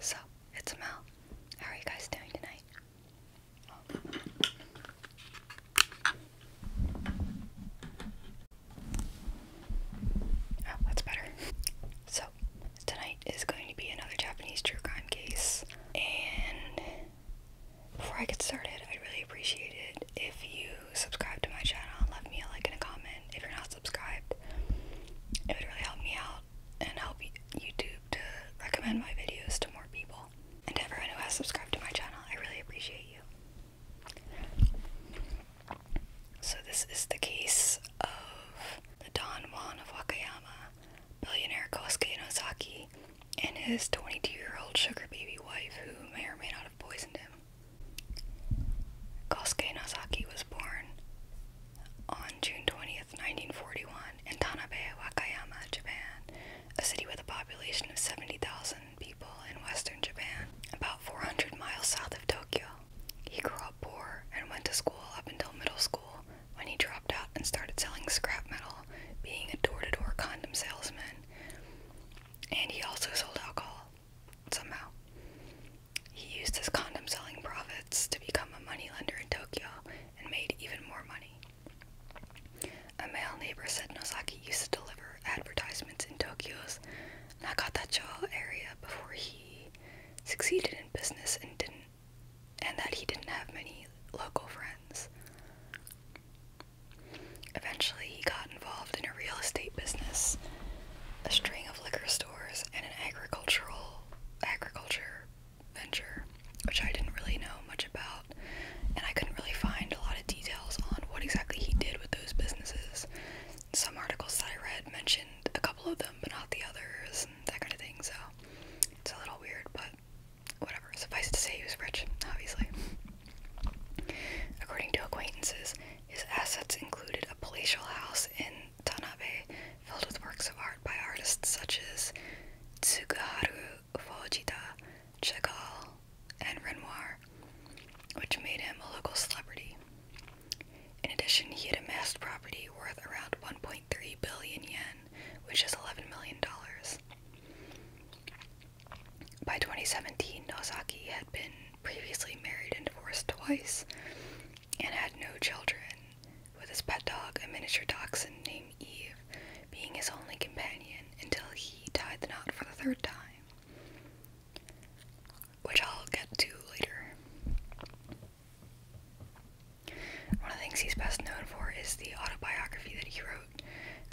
So, it's Mel. How are you guys doing tonight? Oh, that's better. So, tonight is going to be another Japanese true crime case. And before I get started, I'd really appreciate it if you subscribe to my channel and left me a like and a comment if you're not subscribed. It would really help me out and help YouTube to recommend my videos to more people. And everyone who has subscribed to my channel, I really appreciate you. So this is the case of the Don Juan of Wakayama, billionaire Kosuke Nozaki, and his 22-year-old sugar baby wife who may or may not have poisoned him. Kosuke Nozaki was born on June twentieth. 1941, in Tanabe, Wakayama, Japan, a city with a population of 70,000 people in western Japan, about 400 miles south of Tokyo. He grew up poor and went to school up until middle school when he dropped out and started selling scrap metal, being a door to door condom salesman. And he also sold alcohol, somehow. He used his condom selling profits to become a moneylender in Tokyo and made even more money. A male neighbor said Nozaki used to deliver advertisements in Tokyo's Nakatacho area before he succeeded in business and didn't and that he didn't have many local friends. Eventually, he got involved in a real estate business, a string of liquor stores and an agricultural agriculture venture, which I didn't really know much about, and I couldn't really find a lot of details on what exactly he did with those businesses. Some articles that I read mentioned a couple of them, but not the others, and that kind of thing. So it's a little weird, but whatever. Suffice it to say, he was rich, obviously. According to acquaintances, his assets included a palatial house in Tanabe filled with works of art by artists such as Tsugaharu Fujita, Chagall, and Renoir, which made him a local celebrity. In addition, he had amassed property worth around 1.3 billion yen, which is $11 million. By 2017, Nozaki had been previously married and divorced twice, and had no children, with his pet dog, a miniature dachshund named Eve, being his only companion until he tied the knot for the third time, which I'll get to later. One of the things he's best known for is the autobiography that he wrote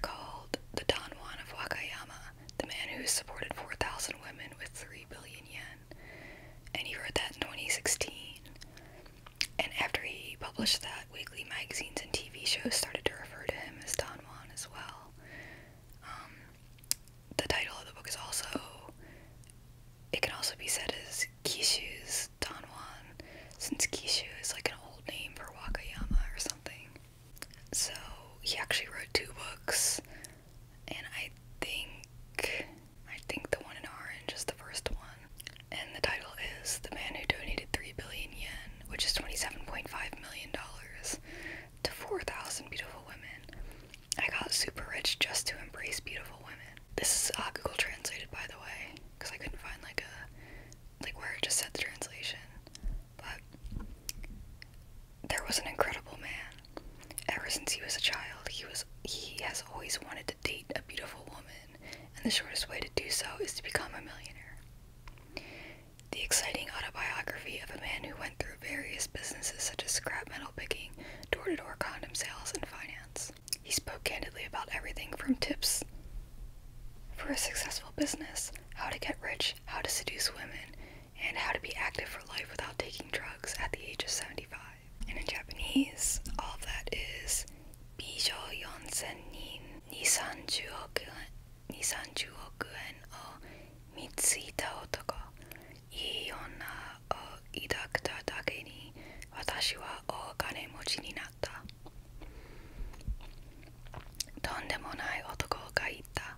called The Don Juan of Wakayama, the man who supported 4,000 women with 3 billion yen and he wrote that in 2016. And after he published that, weekly magazines and TV shows started to refer to him as Don Juan as well. Um, the title of the book is also, it can also be said as Kishu's Don Juan, since Kishu is like an old name for Wakayama or something. So he actually wrote two books, and I think I think the one in orange is the first one. And the title is The Man Who Donated 3 Billion Yen, which is $27.5 million, to 4,000 beautiful women. I got super rich just to embrace beautiful women. This is uh, Google translated, by the way, because I couldn't find like a, like where it just said the translation. But there was an incredible man Ever since he was a child, he was he has always wanted to date a beautiful woman, and the shortest way to do so is to become a millionaire. The exciting autobiography of a man who went through various businesses such as scrap metal picking, door-to-door -door condom sales, and finance. He spoke candidly about everything from tips for a successful business, how to get rich, how to seduce women, and how to be active for life without taking drugs at the age of 75. And in Japanese, all of that is Bijo Yonsen Nin Nisanju Okuen Nisanju Okuen O Mitsuita Otoko Iona O Idakta Dake ni Watashi wa Okane Mochi ni natta とんでもない男がいた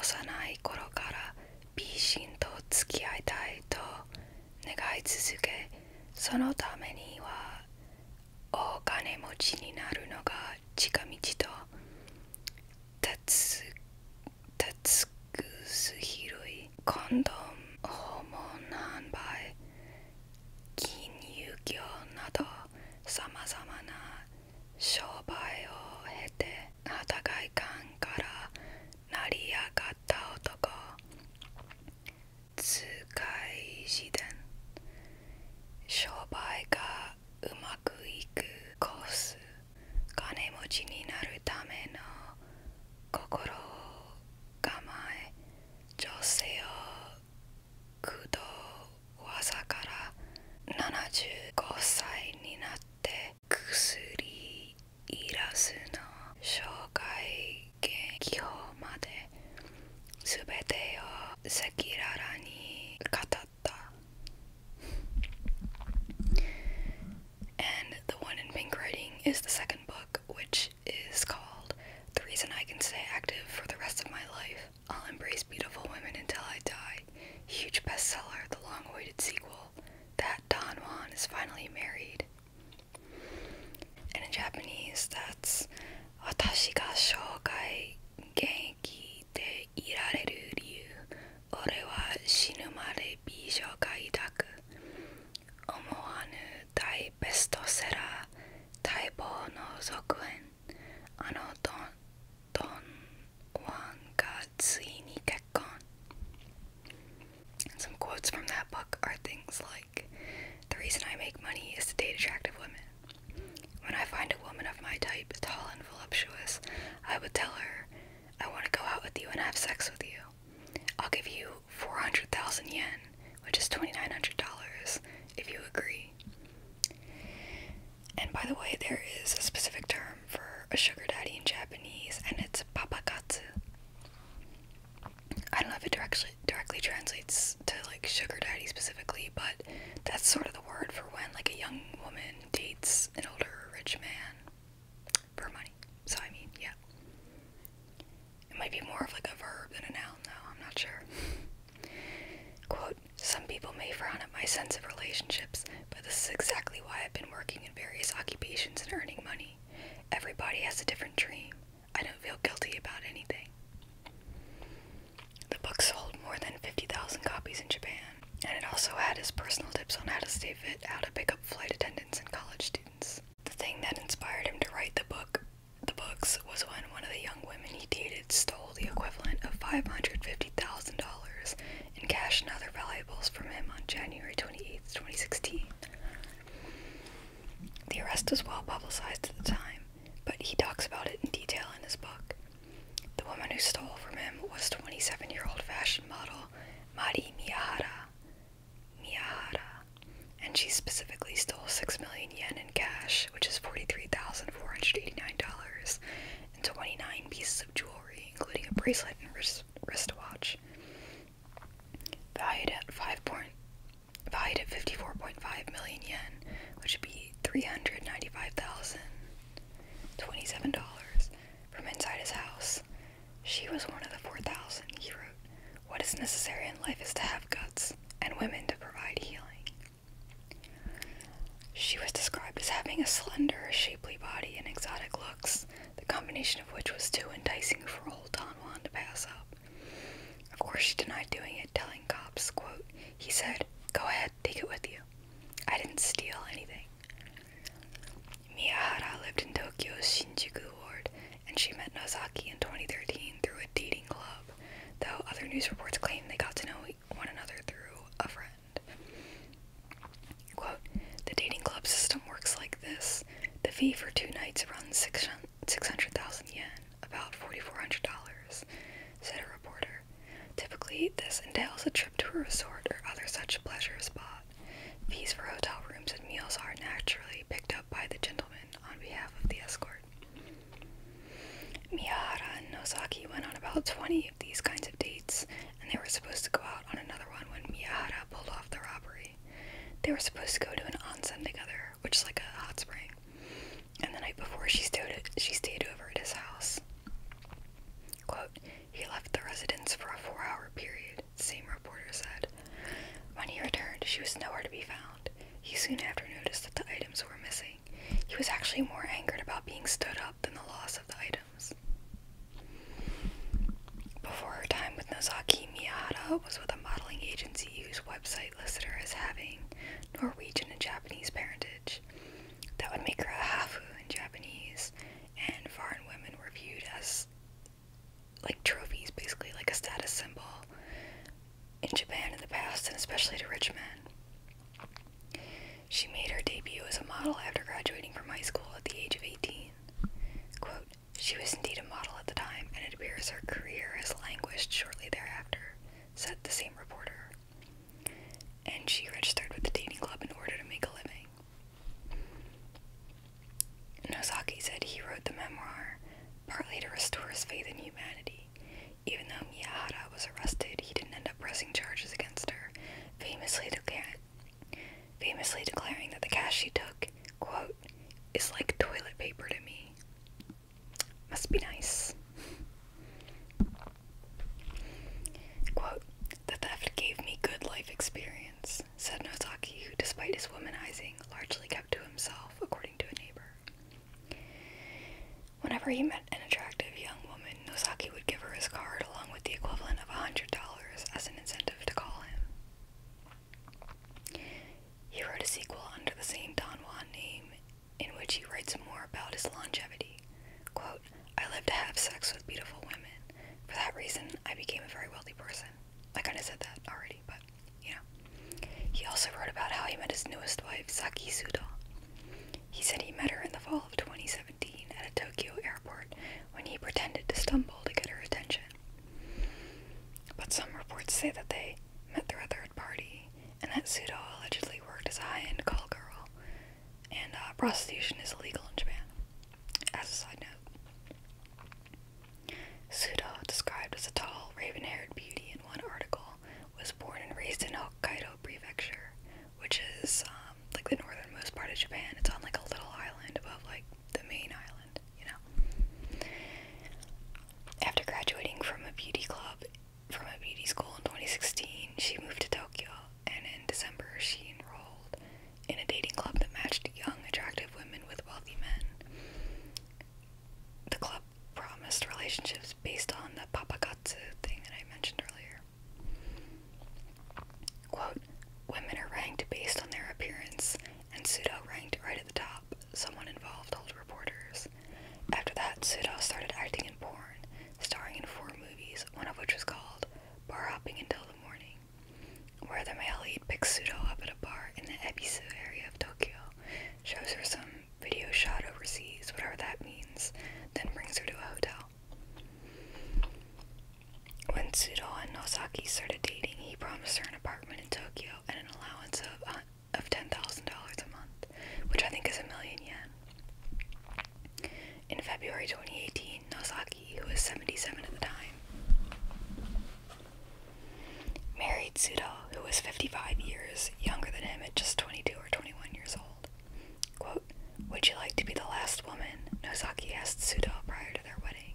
幼い頃から美人と付き合いたいと願い続けそのためにはお金持ちになるのが近道とたつくすひるいコンドーム訪問販売金融業などさまざまな商売を経て、お互い間から成り上がった男使い自伝商売がうまくいくコース金持ちになるための心構え女性をくど。藤技から75歳になって薬いらずの障害基本まですべてを赤裸々に語った And the one in pink writing is the second book, which is called The Reason I Can Stay Active for the Rest of My Life I'll Embrace Beautiful Women Until I Die. Huge bestseller, the long awaited sequel that Don Juan is finally married. And in Japanese, t h a 私が生涯現役でいられる理由俺は死ぬまで美女が抱く思わぬ大ベストセラー待望の続編あのドンドンワンがついに結 gone. And some quotes from that book are things like The reason I make money is to date attractive women. When I find a woman of my type, tall and voluptuous, I would tell her, I want to go out with you and have sex with you. I'll give you 400,000 yen, which is $2,900, if you agree. And by the way, there is a specific term for a sugar daddy in Japanese, and it's papakatsu. I don't know if it directly directly translates to like sugar daddy specifically, but that's sort of the word for when like a young woman dates an older rich man for money. So I mean, yeah. It might be more of like a verb than a noun though, I'm not sure. Quote, some people may frown at my sense of relationships, but this is exactly why I've been working in various occupations and earning money everybody. has a different dream. I don't feel guilty about anything. The book sold more than 50,000 copies in Japan, and it also had his personal tips on how to stay fit, how to pick up flight attendants and college students. The thing that inspired him to write the book, the books, was when one of the young women he dated stole the equivalent of $550,000 in cash and other valuables from him on January 28, 2016. The arrest was well publicized at the time, but he talks about it in detail in his book. The woman who stole from him was 27 year old fashion model Mari Miyahara. Miyahara. And she specifically stole 6 million yen in cash, which is $43,489, and 29 pieces of jewelry, including a bracelet and wristwatch valued at five point valued at fifty four point five million yen, which would be three hundred ninety five thousand twenty seven dollars from inside his house. She was one of the four thousand, he wrote. What is necessary in life is to have guts and women to provide healing. She was described as having a slender, shapely body and exotic looks the combination of which was too enticing for old Don Juan to pass up. Of course, she denied doing it, telling cops, quote, he said, go ahead, take it with you. I didn't steal anything. Miyahara lived in Tokyo's Shinjuku ward, and she met Nozaki in 2013 through a dating club, though other news reports claim they got to know one another through a friend. the dating club system works like this. The fee for two nights runs 600,000 yen, about $4,400, said a reporter. Typically, this entails a trip to a resort or other such pleasure spot. Fees for hotel rooms and meals are naturally picked up by the gentleman on behalf of the escort. Miyahara and Nosaki went on about 20 of these kinds of dates, and they were supposed to go out on another one when Miyahara pulled off the robbery. They were supposed to go to an onsen together, which is like a hot spring. And the night before, she stayed over at his house. Quote, he left the residence for a four-hour period, same reporter said. When he returned, she was nowhere to be found. He soon after noticed that the items were missing. He was actually more angered about being stood up than the loss of the items. Before her time with Nozaki, Miyata was with a modeling agency whose website listed her as having Norwegian and Japanese parentage. That would make her a hafu in Japanese, and foreign women were viewed as like trophies, basically, like a status symbol in Japan in the past, and especially to rich men. She made her debut as a model after graduating from high school at the age of 18. Quote, she was indeed a model at the time, and it appears her career has languished shortly thereafter, said the same reporter. And she registered with the dating club in order to make a living. Nosaki said he wrote the memoir partly to restore his faith in humanity. Even though Miyahara was arrested, he didn't end up pressing charges against her. Famously, the, famously declaring that the cash she took, quote, is like toilet paper to me. Must be nice. the theft gave me good life experience, said Nosaki, who, despite his womanizing, largely kept to himself, according to a neighbor. Whenever he met an attractive young woman, Nosaki would give her his card along with the equivalent of $100 as an incentive to call him. He wrote a sequel under the same Don Juan name, in which he writes more about his longevity. Quote, I lived to have sex with beautiful women. For that reason, I became a very wealthy person. I kind of said that already, but you know. He also wrote about how he met his newest wife, Saki Suda. He said he met her in the fall of 2017 at a Tokyo airport when he pretended to stumble to get her attention. But some reports say that they met through a third party and that Sudo allegedly worked as a high end call girl, and uh, prostitution is illegal in Japan. As a side note, Sudo, described as a tall, raven haired beauty in one article, was born and raised in Hokkaido Prefecture, which is um, like the northernmost part of Japan. It's on like a little island above like the main island you know. After graduating from a beauty club from a beauty school in 2016, she moved to Tokyo, and in December she enrolled in a dating club that matched young, attractive women with wealthy men. The club promised relationships based on the papagatsu thing that I mentioned earlier. Quote, women are ranked based on their appearance and Pseudo ranked right at the top. Someone involved told reporters. After that, Pseudo started acting in porn, starring in four movies, one of which was called Bar Hopping Until the Morning, where the male lead picks Pseudo up at a bar in the Ebisu area of Tokyo, shows her some video shot overseas, whatever that means, then brings her to a hotel. When Tsudo and Nosaki started dating, he promised her an apartment in Tokyo and an allowance of uh, of ten thousand dollars a month, which I think is a million yen. In February 2018, Nosaki, who was 77 at the time, married Tsuda, who was 55 years younger than him at just 22 or 21 years old. Quote, Would you like to be the last woman? Nosaki asked Tsuda prior to their wedding.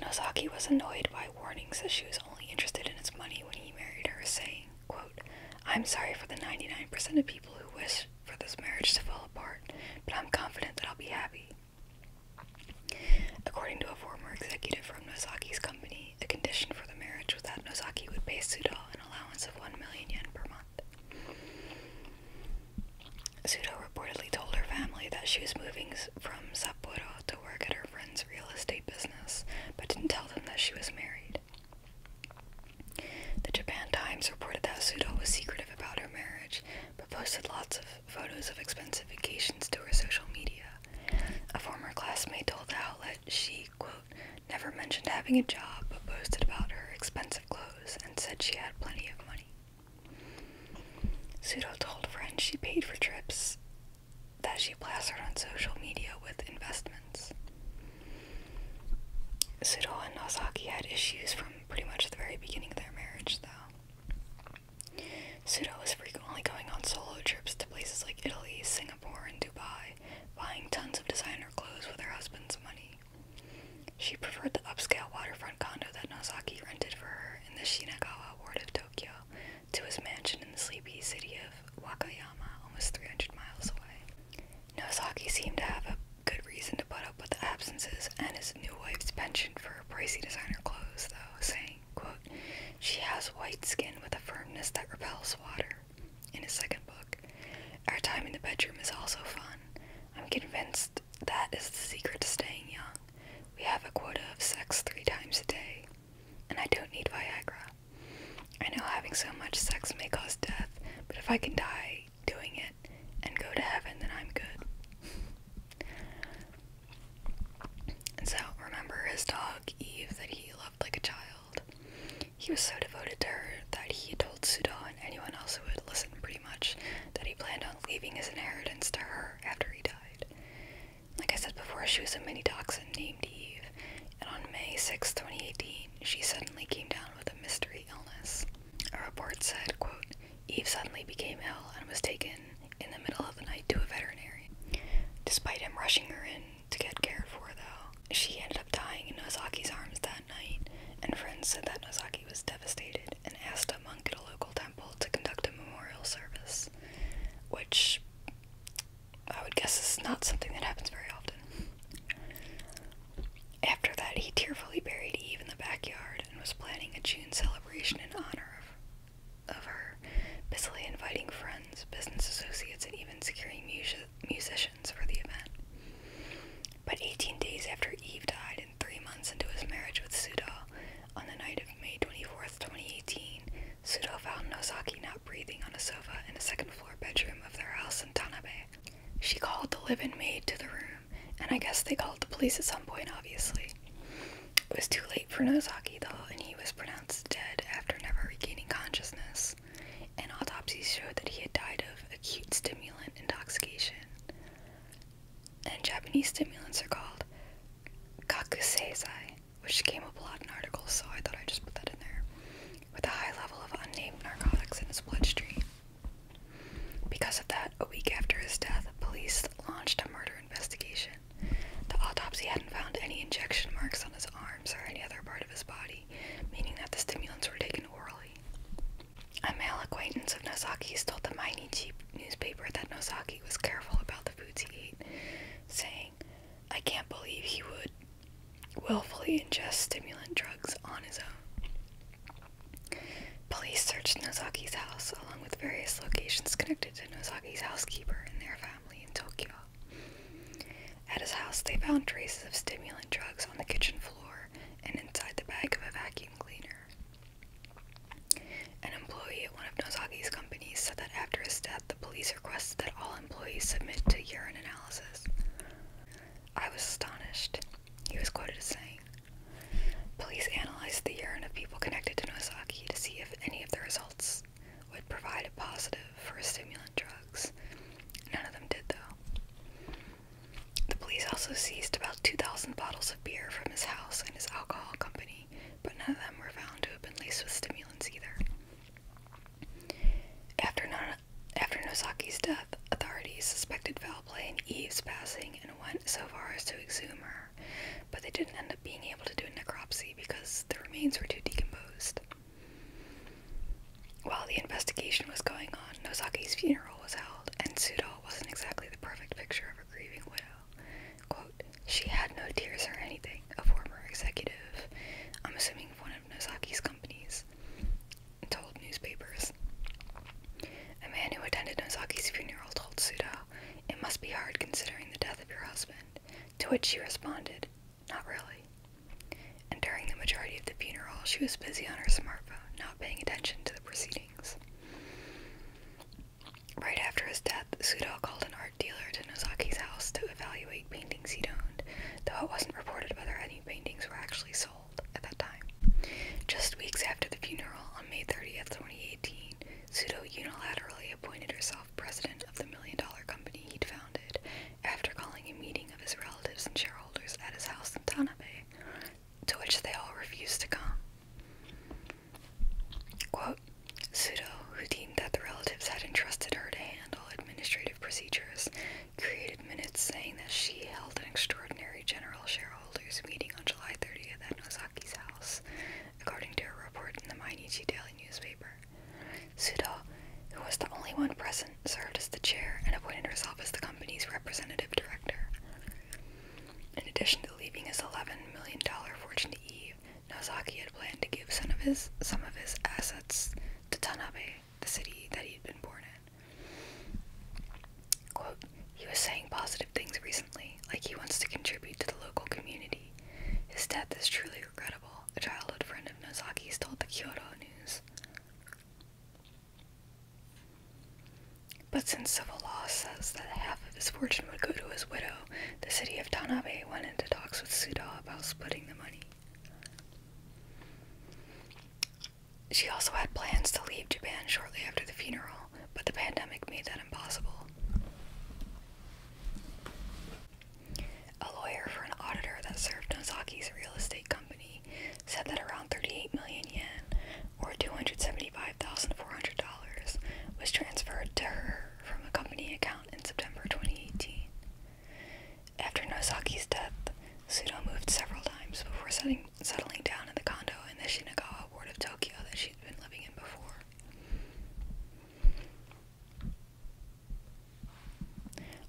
Nozaki was annoyed by warnings that she was only interested in his money when he married her, saying, quote, I'm sorry for the 99% of people who wish for this marriage to fall apart, but I'm confident that I'll be happy. According to a former executive from Nozaki's company, the condition for the marriage was that Nozaki would pay Suda an allowance of 1 million yen per month. Sudo reportedly told her family that she was moving from Sapporo to work at her friend's real estate business, but didn't tell them that she was married. The Japan Times reported that Sudo was secretive about her marriage, but posted lots of photos of expensive vacations to her social media. A former classmate told the outlet she, quote, never mentioned having a job, but posted about her expensive clothes and said she had plenty of money. Sudo told friends she paid for trips that she plastered on social media with investments. Sudo and Nosaki had issues from pretty much the very beginning of their marriage, though. Sudo was frequently going on solo trips to places like Italy, Singapore, and Dubai, buying tons of designer clothes with her husband's money. She preferred the upscale waterfront condo that Nosaki rented for her in the Shinagawa ward of Tokyo to his mansion in the sleepy city of Wakayama, almost 300 miles away. Nozaki seemed to have a good reason to put up with the absences and his new wife's penchant for pricey designer clothes, though, saying, quote, She has white skin with a firmness that repels water, in his second book. Our time in the bedroom is also fun. I'm convinced that is the secret to staying young. We have a quota of sex three times a day, and I don't need Viagra. I know having so much sex may cause death, but if I can die doing it and go to heaven, then I'm good. And so, remember his dog, Eve, that he loved like a child? He was so devoted to her that he told Suda and anyone else who would listen pretty much that he planned on leaving his inheritance to her after he died. Like I said before, she was a mini dachshund named Eve, and on May 6, 2018, she suddenly came down with a mystery illness. A report said, quote, Eve suddenly became ill and was taken in the middle of the night to a veterinary. Despite him rushing her in to get cared for, though, she ended up dying in Nozaki's arms that night, and friends said that Nozaki was devastated and asked a monk at a local temple to conduct a memorial service, which I would guess is not something that happens very often. After that, he tearfully buried Eve in the backyard and was planning a June celebration in honor of, of her, busily inviting friends, business associates, and even securing musicians for the event. But 18 days after Eve died three months into his marriage with Suda, on the night of May 24, 2018, Suda found Nozaki not breathing on a sofa in the second floor bedroom of their house in Tanabe. She called the living maid to the room, and I guess they called the police at some point, obviously. It was too late for Nozaki, though, and he was pronounced dead after never regaining consciousness. An autopsy showed that he had died of acute stimulant intoxication. And Japanese stimulants are called Kakuseizai, which came up a lot in articles, so I thought I'd just put that in there, with a high level of unnamed narcotics in his bloodstream. Because of that, a week after his death, police launched a murder investigation. The autopsy hadn't found any injection marks on his arms or any other part of his body, meaning that the stimulants were taken orally. A male acquaintance of Nosaki's told the Mainichi newspaper that Nosaki. Rocky was careful about the foods he ate, saying, I can't believe he would willfully ingest stimulant drugs on his own. Police searched Nozaki's house along with various locations connected to Nozaki's housekeeper and their family in Tokyo. At his house, they found traces of stimulant drugs on the kitchen floor and inside the bag of a vacuum cleaner. An employee at one of Nozaki's companies said that after his death, the police requested that all employees submit to urine analysis. I was astonished. He was quoted as saying, Police analyzed the urine of people connected to Nozaki to see if any of the results would provide a positive for stimulant drugs. None of them did, though. The police also seized about 2,000 bottles of beer from his house and his alcohol company but none of them were found to have been laced with stimulants either. After, not, Nozaki's death, authorities suspected foul play in Eve's passing and went so far as to exhume her, but they didn't end up being able to do a necropsy because the remains were too decomposed. While the investigation was going on, Nozaki's funeral was held, and Sudo wasn't exactly the perfect picture of a grieving widow she had no tears or anything, a former executive, I'm assuming one of Nozaki's companies, told newspapers. A man who attended Nozaki's funeral told Suda, it must be hard considering the death of your husband, to which she responded, not really. And during the majority of the funeral, she was busy on her smartphone, not paying attention to the proceedings. Right after his death, Sudo called an art dealer to Nozaki's house to evaluate paintings he'd owned, though it wasn't reported whether any paintings were actually sold at that time. Just weeks after the funeral, on May 30th, 2018, Sudo unilaterally appointed herself president of the million dollar company he'd founded after calling a meeting of his relatives and shareholders at his house in Tanabe, to which they all refused to come. Quote, Sudo, who deemed that the relatives had entrusted her to handle administrative procedures, created minutes saying that she held an extraordinary general shareholders meeting on July 30th at Nozaki's house, according to a report in the Mainichi Daily newspaper. Sudo, who was the only one present, served as the chair and appointed herself as the company's representative director. In addition to leaving his $11 million fortune to Eve, Nozaki had planned to give some of his some of his assets to Tanabe, the city that he had been born in. Quote, he was saying positive things recently, like he wants to contribute to the local community. His death is truly regrettable, a childhood friend of Nozaki's told the Kyoto News. But since civil law says that half of his fortune would go to his widow the city of Tanabe went into talks with Suda about splitting the money. She also had plans to leave Japan shortly after the funeral, but the pandemic made that impossible. A lawyer for an auditor that served Nozaki's real estate company said that around 38 million yen, or $275,400, was transferred to her from a company account in September 2018. After Nozaki's death, Sudo moved several times before setting, settling down in the condo in the Shinagawa ward of Tokyo that she'd been living in before.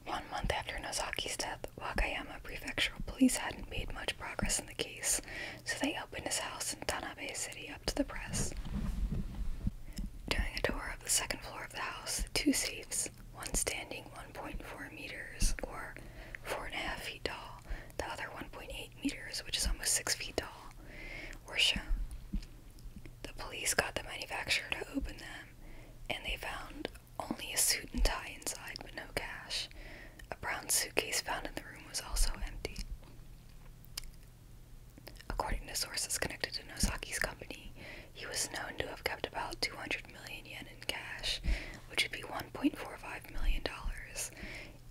One month after Nozaki's death, Wakayama Prefectural Police hadn't made much progress in the case, so they opened his house in Tanabe City up to the press. During a tour of the second floor of the house, two safes, one standing 1.4 meters or 4.5 feet tall, the other 1.8 meters, which is almost 6 feet tall, were shown. The police got the manufacturer to open them, and they found only a suit and tie inside, but no cash. A brown suitcase found in the room was also empty. According to sources connected to Nosaki's company, he was known to have kept about 200 million yen in cash, which would be $1.45 million,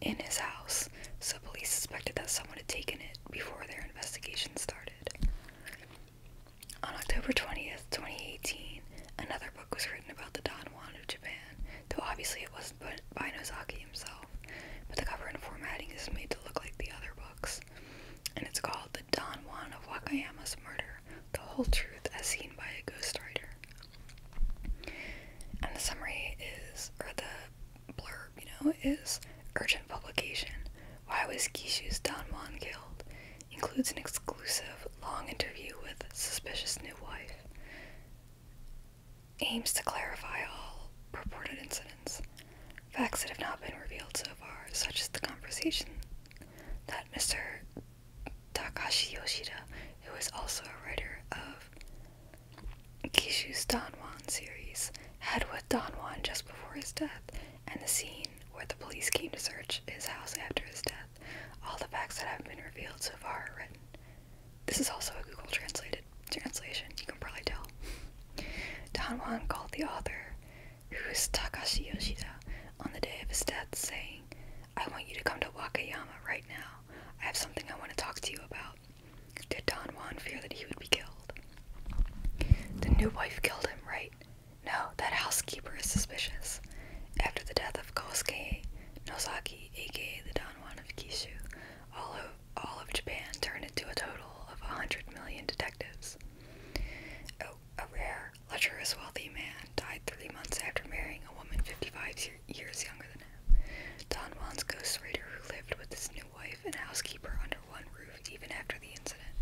in his house, so police suspected that someone had taken it before their investigation started. On October 20th, 2018, another book was written about the Don Juan of Japan, though obviously it wasn't by Nozaki, but the cover and formatting is made to look like the other books. And it's called The Don Juan of Wakayama's Murder, The Whole Truth as Seen by a Ghostwriter. And the summary is, or the blurb, you know, is Urgent Publication Why Was Kishu's Don Juan Killed? Includes an exclusive, long interview with Suspicious New Wife aims to clarify all purported incidents. Facts that have not been revealed so far, such as the conversation that Mr. Takashi Yoshida, who is also a writer of Kishu's Don Juan series, had with Don Juan just before his death, and the scene where the police came to search his house after his death. All the facts that have been revealed so far are written. This is also a Google translated translation. You can probably tell. Don Juan called the author, who is Takashi Yoshida, on the day of his death, saying, I want you to come to Wakayama right now. I have something I want to talk to you about. Did Don Juan fear that he would be killed? The new wife killed him, right? No, that housekeeper is suspicious. After the death of Kosuke Nozaki, aka the Don Juan of Kishu, all of all of Japan turned into a total of 100 million detectives. Oh, a rare, lecherous, wealthy man died three months after marrying a woman 55 years younger than him. Don Juan's ghost who lived with his new wife and housekeeper under one roof even after the incident.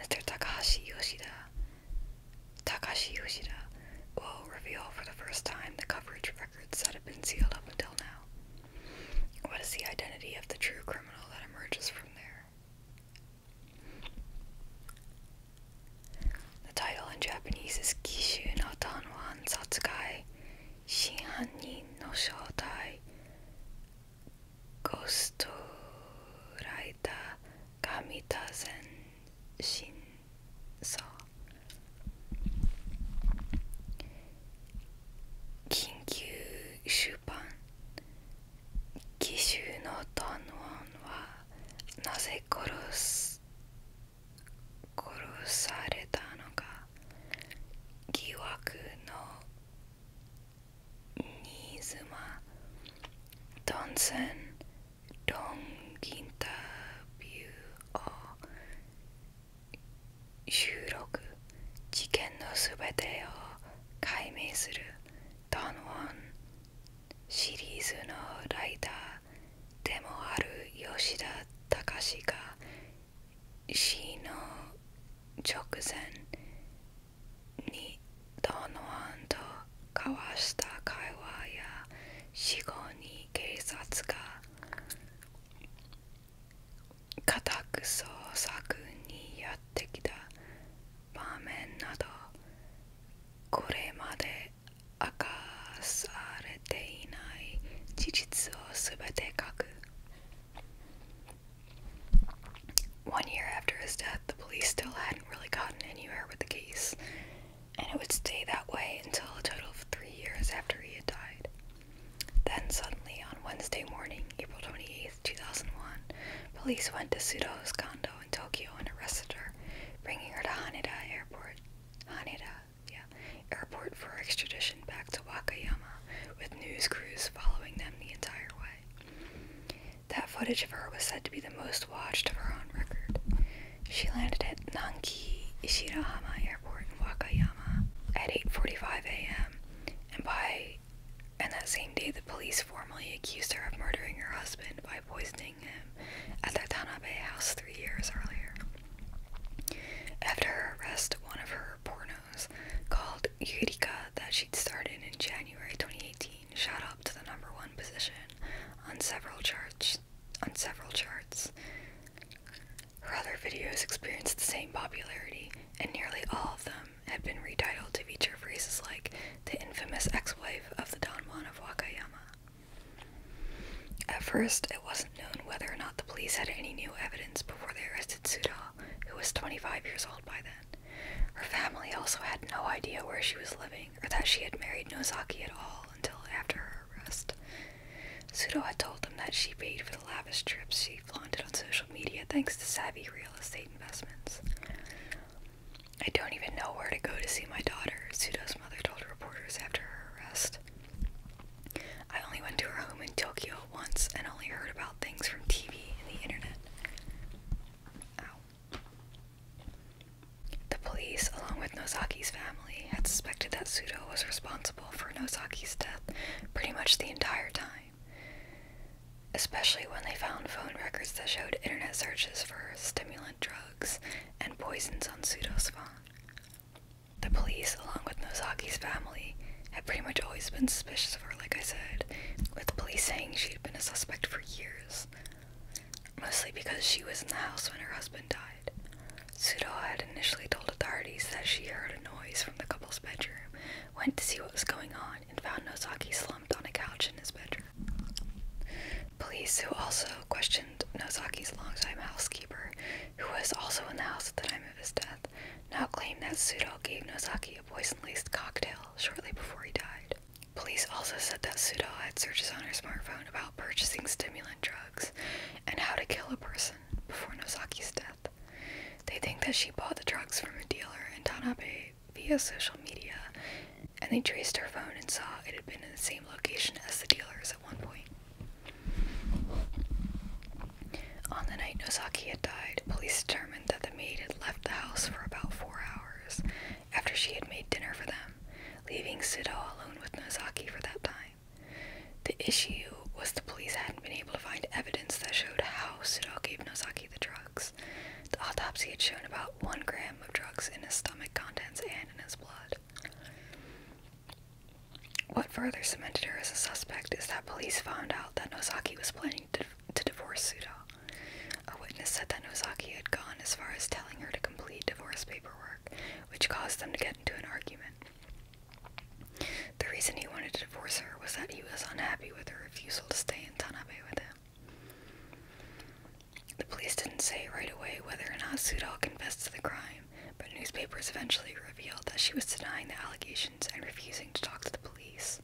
Mr. Takashi Yoshida. Takashi Yoshida will reveal for the first time the coverage records that have been sealed up until now. What is the identity of the true criminal that emerges from there? The title in Japanese is Kishu no Tanwan Satsukai Shinhanin no Shoutai Ghost Raita Kamita Zen Shin 緊急出版奇襲のドンワンはなぜ殺す殺されたのか疑惑のニーズマ。トンセンロンインタビューを収録事件のすべてを解明するドン・ワンシリーズのライターでもある吉田隆が死の直前にドン・ワンと交わした会話や死後に警察が固く創作にやってきた場面などこれまで明かされていない事実をすべて書く One year after his death, the police still hadn't really gotten anywhere with the case, and it would stay that way until a total of three years after he had died. Then suddenly, on Wednesday morning, April twenty eighth, 2001, police went to Sudo's condo in Tokyo and arrested her, bringing her to Haneda Airport. Haneda, yeah, airport for extradition back to Wakayama, with news crews following them the entire way. That footage of her was said to be the most watched of her on record. She landed at Nanki Ishirahama Airport in Wakayama at 8:45 a.m and by and that same day the police formally accused her of murdering her husband by poisoning him at their Tanabe house three years earlier. After her arrest, one of her pornos called Yurika that she'd started in January 2018 shot up to the number one position on several charts on several charts. Her other videos experienced the same popularity, and nearly all of them had been retitled to feature phrases like the infamous ex-wife of the Don Juan of Wakayama. At first, it wasn't known whether or not the police had any new evidence before they arrested Sudal, who was 25 years old by then. Her family also had no idea where she was living or that she had married Nozaki at all until after her arrest. Sudo had told them that she paid for the lavish trips she flaunted on social media thanks to savvy real estate investments. I don't even know where to go to see my daughter, Sudo's mother told reporters after her arrest. I only went to her home in Tokyo once and only heard about things from TV and the internet. Ow. The police, along with Nozaki's family, had suspected that Sudo was responsible for Nosaki's death pretty much the entire time. Especially when they found phone records that showed internet searches for stimulant drugs and poisons on Sudo's phone. The police, along with Nosaki's family, had pretty much always been suspicious of her, like I said, with the police saying she'd been a suspect for years. Mostly because she was in the house when her husband died. Sudo had initially told authorities that she heard a noise from the couple's bedroom, went to see what was going on and found Nozaki slumped on a couch in his bedroom. Police, who also questioned Nozaki's longtime housekeeper, who was also in the house at the time of his death, now claim that Sudo gave Nozaki a poison-laced cocktail shortly before he died. Police also said that Sudo had searches on her smartphone about purchasing stimulant drugs and how to kill a person before Nozaki's death. They think that she bought the drugs from a dealer in Tanabe via social media, and they traced her phone and saw it had been in the same location as the dealers at one point. On the night Nozaki had died, police determined that the maid had left the house for about four hours after she had made dinner for them, leaving Sido alone with Nozaki for that time. The issue was the police hadn't been able to find evidence that showed how Suno gave Nozaki the drugs. The autopsy had shown about one gram of drugs in his stomach contents and in his blood. What further cemented her as a suspect is that police found out that Nozaki was planning to, divorce Suda. A witness said that Nozaki had gone as far as telling her to complete divorce paperwork, which caused them to get into an argument. The reason he wanted to divorce her was that he was unhappy with her refusal to stay in Tanabe with him. The police didn't say right away whether or not Sudal confessed to the crime, but newspapers eventually revealed that she was denying the allegations and refusing to talk to the police.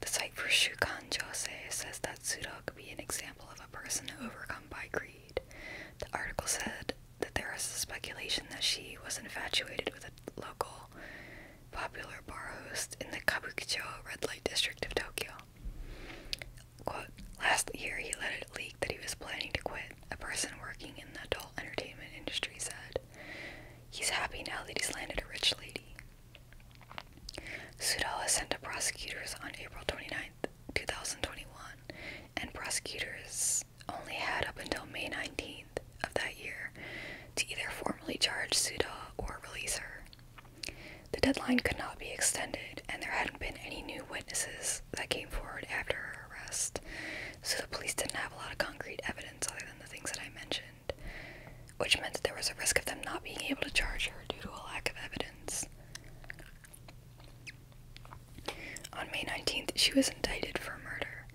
The site for Shukan Jose says that Sudal could be an example of a person overcome by greed. The article said that there is speculation that she was infatuated with a local popular bar host in the Kabukicho red light district of Tokyo. Quote, last year he let it leak that he was planning to quit, a person working in the adult entertainment industry said. He's happy now that he's landed a rich lady. Sudawa sent to prosecutors on April 29, 2021, and prosecutors only had up until May 19th of that year to either formally charge Suda or release her. The deadline could not be extended, and there hadn't been any new witnesses that came forward after her arrest, so the police didn't have a lot of concrete evidence other than the things that I mentioned, which meant that there was a risk of them not being able to charge her due to a lack of evidence. On May 19th, she was indicted for murder,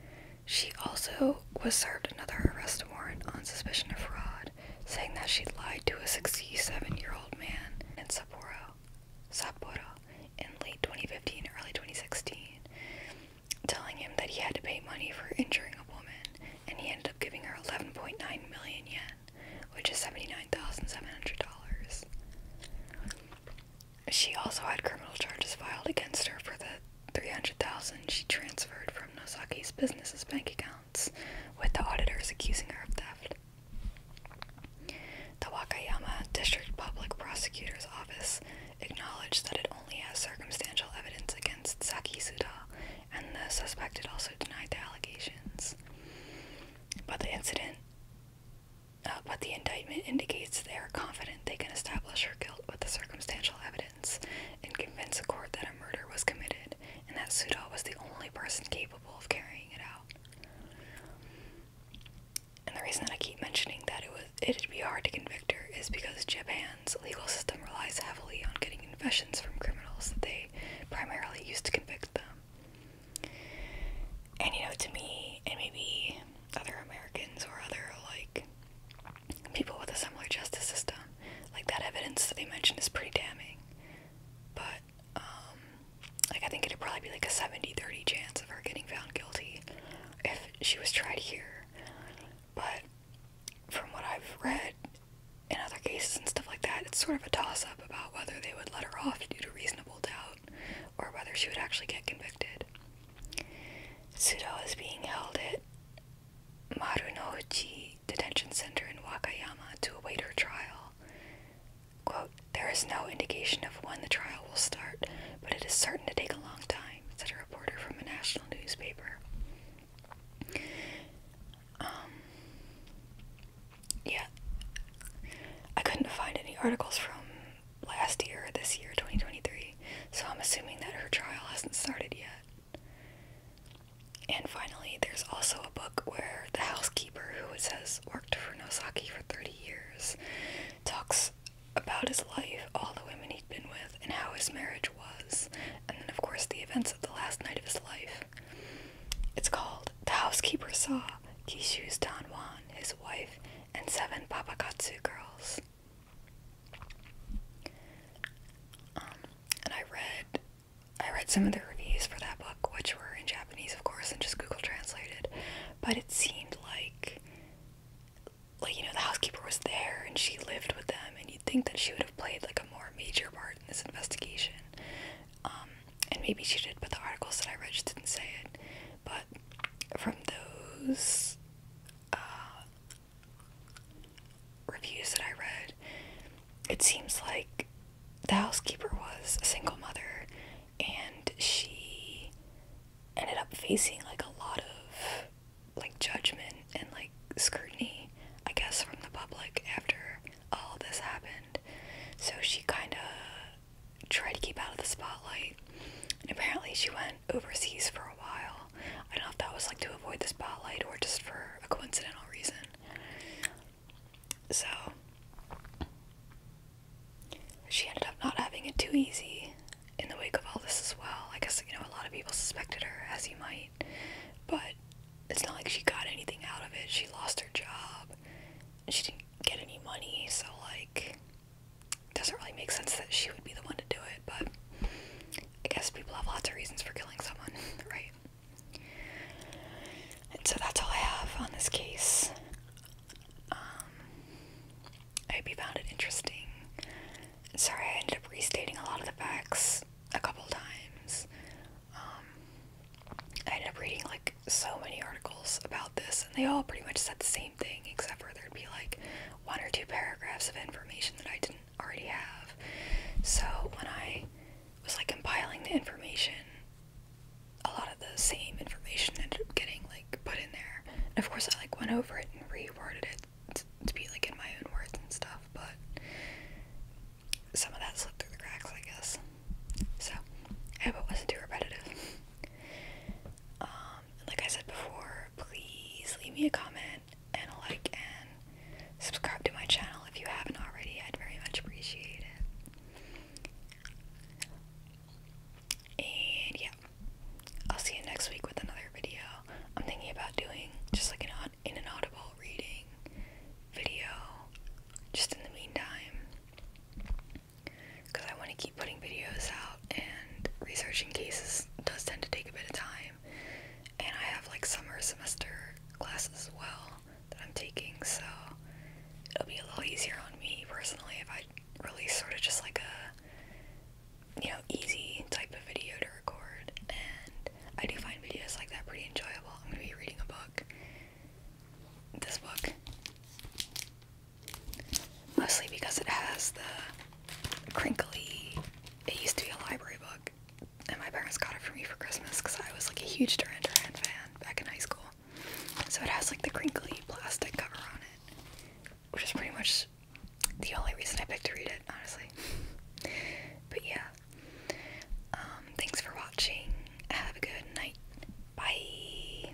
she also was served another arrest warrant on suspicion of fraud, saying that she lied to a 67 year old man in Sapporo, Sapporo in late 2015, early 2016, telling him that he had to pay money for injuring a woman, and he ended up giving her 11.9 million yen, which is $79,700. She also had criminal charges filed against her for the 300,000 she transferred from Nosaki's business's bank accounts, with the auditors accusing her of theft. The Wakayama District Public Prosecutor's Office acknowledged that it only has circumstantial evidence against Saki Suda, and the suspected also denied the allegations. But the incident, uh, but the indictment indicates they are confident they can establish her guilt with the circumstantial evidence and convince a court that a murder was committed and that Sudol was the only person capable of carrying it out. And the reason that I keep mentioning that it was it'd be hard to convict her is because Japan's legal system relies heavily on getting confessions from criminals that they primarily use to convict them. And you know, to me and maybe other Americans or other like people with a similar justice system. Like that evidence that they mentioned is pretty damning. But um, like I think it'd probably be like a 70-30 chance of her getting found guilty if she was tried here. But from what I've read in other cases and stuff like that, it's sort of a toss-up about whether they would let her off due to reasonable doubt or whether she would actually get convicted. Sudo is being held at Marunouchi Detention Center in Wakayama to await her trial. There is no indication of when the trial will start, but it is certain to take a long time, said a reporter from a national newspaper. Um, yeah. I couldn't find any articles from last year, this year, 2023. So I'm assuming that her trial hasn't started yet. And finally, there's also a book where the housekeeper, who has worked for Nosaki for 30 years, talks about his life, all the women he'd been with, and how his marriage was, and then, of course, the events of the last night of his life. It's called The Housekeeper Saw Kishu's Don His Wife, and Seven Papagatsu Girls. Um, and I read I read some of the reviews for that book, which were in Japanese, of course, and just Google translated. But it seemed like, like you know, the housekeeper was there and she lived with them, and you'd think that she would have played like a more major part in this investigation. Um, and maybe she did, but the articles that I read just didn't say it. But from those uh, reviews that I read, it seems like the housekeeper was a single mother and she ended up facing like a lot of like judgment and like scrutiny, I guess, from the public after all this happened. So she kind of tried to keep out of the spotlight and apparently she went overseas for a while. I don't know if that was like to avoid the spotlight or just for a coincidental reason. So she ended up not having it too easy in the wake of all this as well. I guess you know a lot of people suspected her, as you might, but it's not like she got anything out of it. She lost her job. she didn't get any money, so like doesn't really make sense that she would be the one to do it, but I guess people have lots of reasons for killing someone, right? And so that's all I have on this case. Um, I hope you found it interesting. Sorry, I ended up restating a lot of the facts a couple times. Um, I ended up reading like so many articles about this, and they all pretty much said the same thing, except for there'd be like one or two paragraphs of information that I didn't already have. So when I was like compiling the information, a lot of the same information ended up getting like put in there. And of course, I like went over it and reworded it to be like in my own words and stuff, but some of that slipped through the cracks, I guess. So I hope it wasn't too repetitive. Um, um, like I said before, please leave me a comment and a like and subscribe to my channel if you haven't already. I'd very much appreciate it. And yeah, I'll see you next week with another video. I'm thinking about doing just like an in an audible reading video just in the meantime because I want to keep putting videos out and researching cases does tend to take a bit of time and I have like summer semester classes as well that I'm taking, so it'll be a little easier on me personally if I release sort of just like a you know easy type of video to record. And I do find videos like that pretty enjoyable. I'm gonna be reading a book. This book. Mostly because it has the crinkly. It used to be a library book, and my parents got it for me for Christmas because I was like a huge Duran Duran fan back in high school. So it has like the crinkly plastic cover on it, which is pretty much the only reason I picked to read it, honestly. but yeah. Um, thanks for watching. Have a good night. Bye.